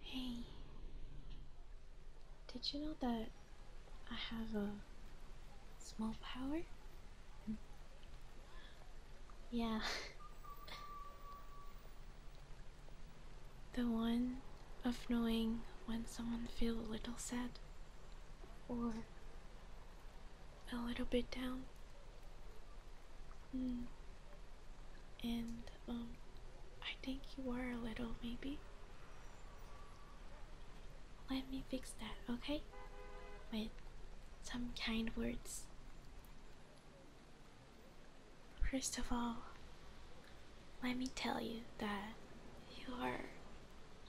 Hey, did you know that I have a small power? yeah, the one of knowing when someone feels a little sad or a little bit down. Mm. And um, I think you are a little, maybe. Let me fix that, okay? With some kind words. First of all, let me tell you that you are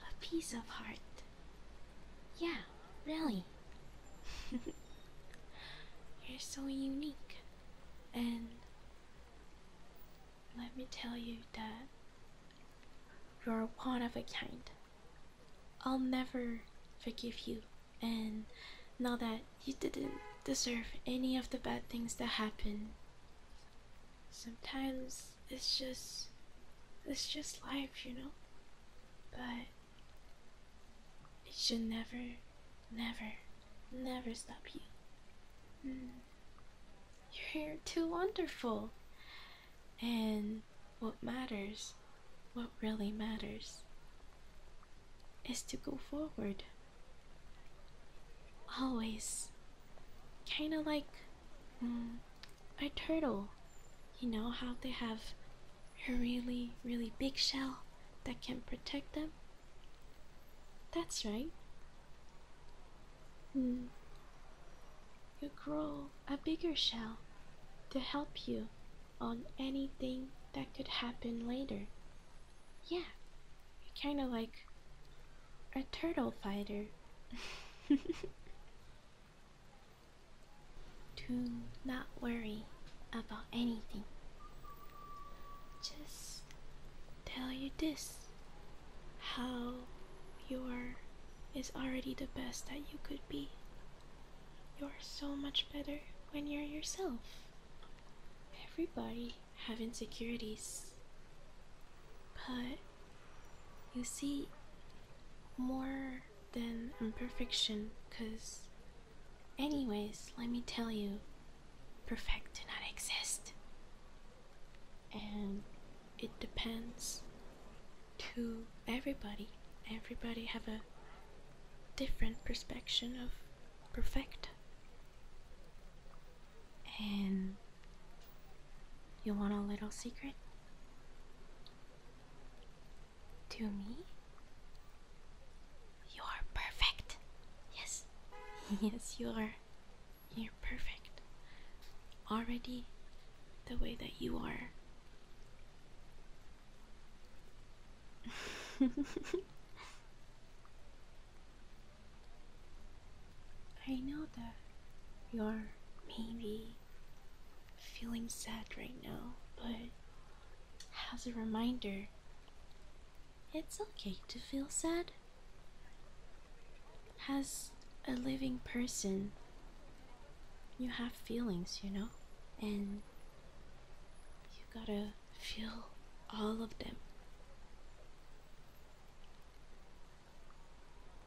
a piece of heart. Yeah, really. You're so unique. And let me tell you that you're one of a kind. I'll never forgive you and know that you didn't deserve any of the bad things that happened. Sometimes it's just it's just life, you know? But it should never, never, never stop you. Mm. You're too wonderful. And what matters, what really matters, is to go forward. Always. Kind of like mm, a turtle. You know how they have a really, really big shell that can protect them? That's right. Hmm. You grow a bigger shell to help you on anything that could happen later. Yeah, you're kind of like a turtle fighter. Do not worry about anything. Just tell you this how you are is already the best that you could be. You are so much better when you're yourself. Everybody have insecurities. But you see more than imperfection because Anyways, let me tell you, perfect do not exist. And it depends to everybody. Everybody have a different perspective of perfect. And you want a little secret? To me? You are perfect. Yes. yes, you are. You're perfect. Already the way that you are. I know that you're maybe feeling sad right now, but as a reminder, it's okay to feel sad. As a living person, you have feelings, you know? And you gotta feel all of them.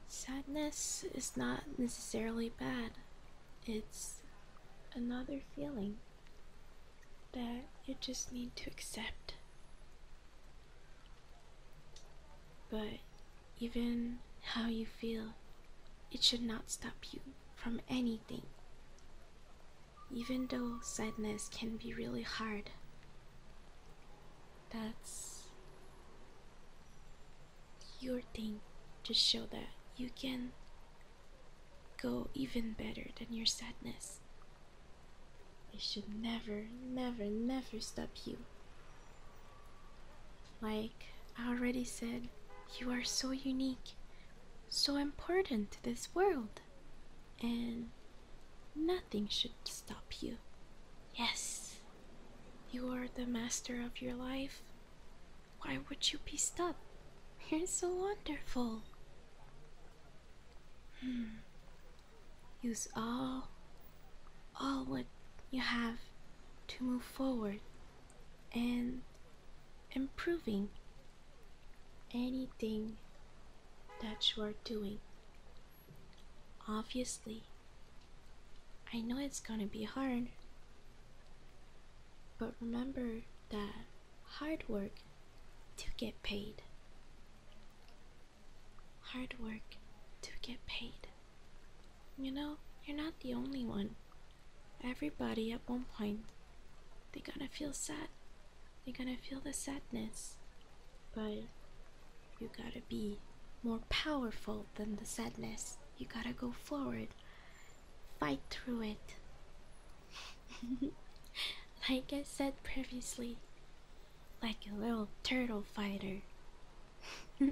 Sadness is not necessarily bad, it's another feeling that you just need to accept. But even how you feel, it should not stop you from anything. Even though sadness can be really hard, that's your thing to show that you can go even better than your sadness. I should never, never, never stop you. Like I already said, you are so unique, so important to this world, and nothing should stop you. Yes, you are the master of your life, why would you be stopped? You're so wonderful. Hmm. Use all, all what you have to move forward and improving anything that you are doing. Obviously, I know it's gonna be hard, but remember that hard work to get paid. Hard work to get paid. You know, you're not the only one. Everybody at one point, they're gonna feel sad. They're gonna feel the sadness. But you gotta be more powerful than the sadness. You gotta go forward fight through it. like I said previously, like a little turtle fighter.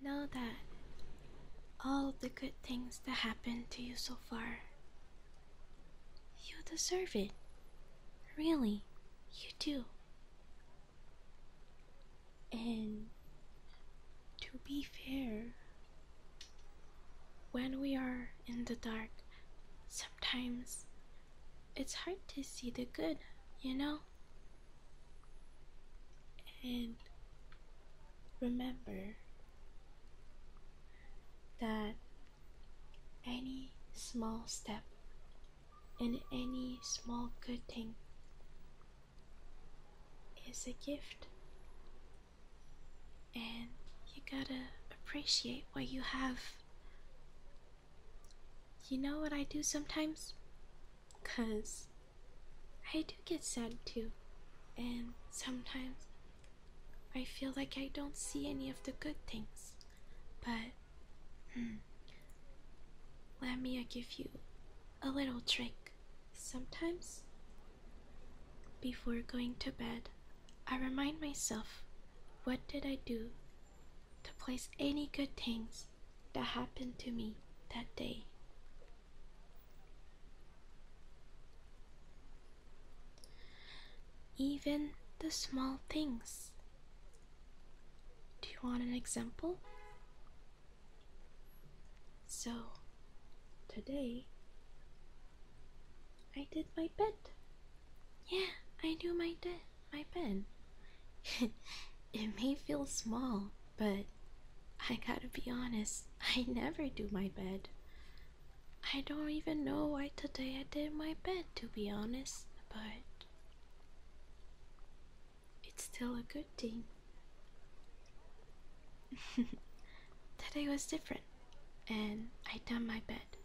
Know that all the good things that happened to you so far, you deserve it. Really, you do. And to be fair, when we are in the dark, sometimes it's hard to see the good, you know? And remember that any small step and any small good thing is a gift and you gotta appreciate what you have. You know what I do sometimes? Cause I do get sad too, and sometimes I feel like I don't see any of the good things, but hmm, let me give you a little trick. Sometimes before going to bed, I remind myself what did I do to place any good things that happened to me that day. Even the small things. Do you want an example? So, Today, I did my bed. Yeah, I do my bed. my bed. it may feel small, but I gotta be honest, I never do my bed. I don't even know why today I did my bed, to be honest, but it's still a good thing. Today was different, and I done my bed,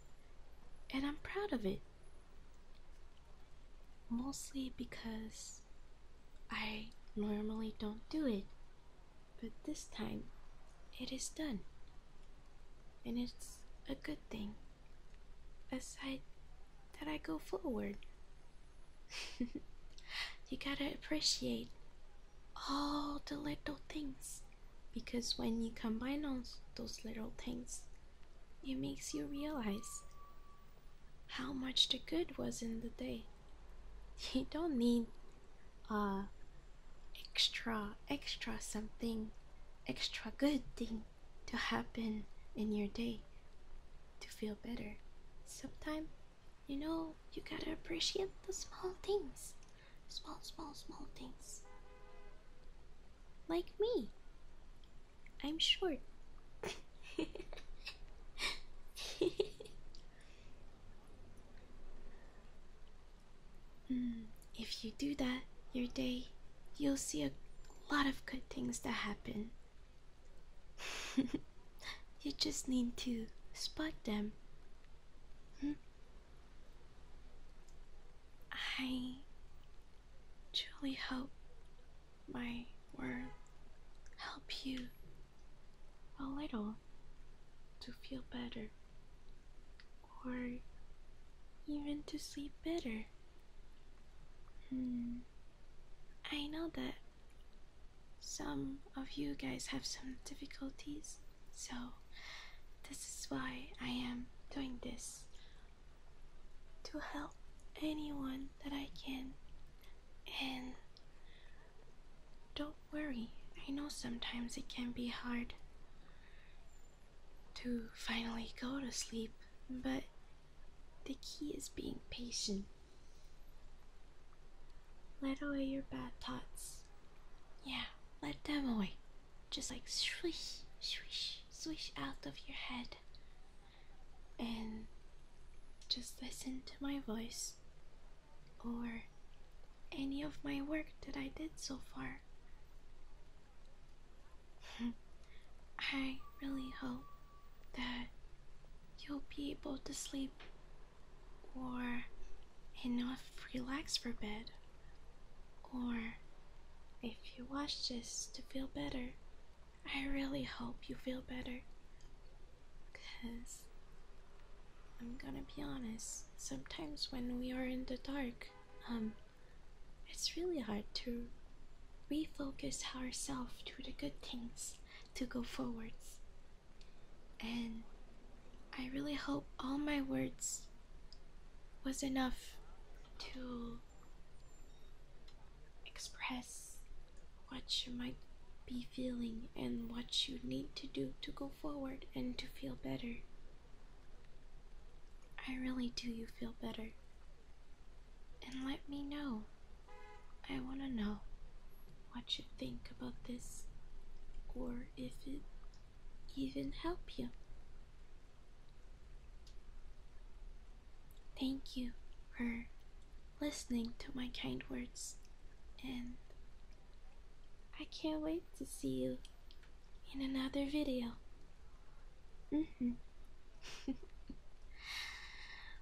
and I'm proud of it. Mostly because I normally don't do it, but this time it is done, and it's a good thing. Aside that I go forward. you gotta appreciate all the little things because when you combine all those little things it makes you realize how much the good was in the day you don't need uh extra extra something extra good thing to happen in your day to feel better sometimes you know, you gotta appreciate the small things. Small, small, small things. Like me. I'm short. Hmm, if you do that, your day, you'll see a lot of good things that happen. You just need to spot them. Hmm? I truly hope my words help you a little to feel better or even to sleep better. Hmm. I know that some of you guys have some difficulties, so this is why I am doing this to help anyone that I can. And don't worry, I know sometimes it can be hard to finally go to sleep, but the key is being patient let away your bad thoughts. Yeah, let them away. Just like swish, swish, swish out of your head. And just listen to my voice or any of my work that I did so far. I really hope that you'll be able to sleep or enough relax for bed, or if you watch this to feel better, I really hope you feel better. Because I'm gonna be honest, sometimes when we are in the dark, um, it's really hard to refocus ourselves to the good things to go forwards. And I really hope all my words was enough to express what you might be feeling and what you need to do to go forward and to feel better. I really do you feel better. And let me know I want to know what you think about this or if it even helped you. Thank you for listening to my kind words and I can't wait to see you in another video. -hmm.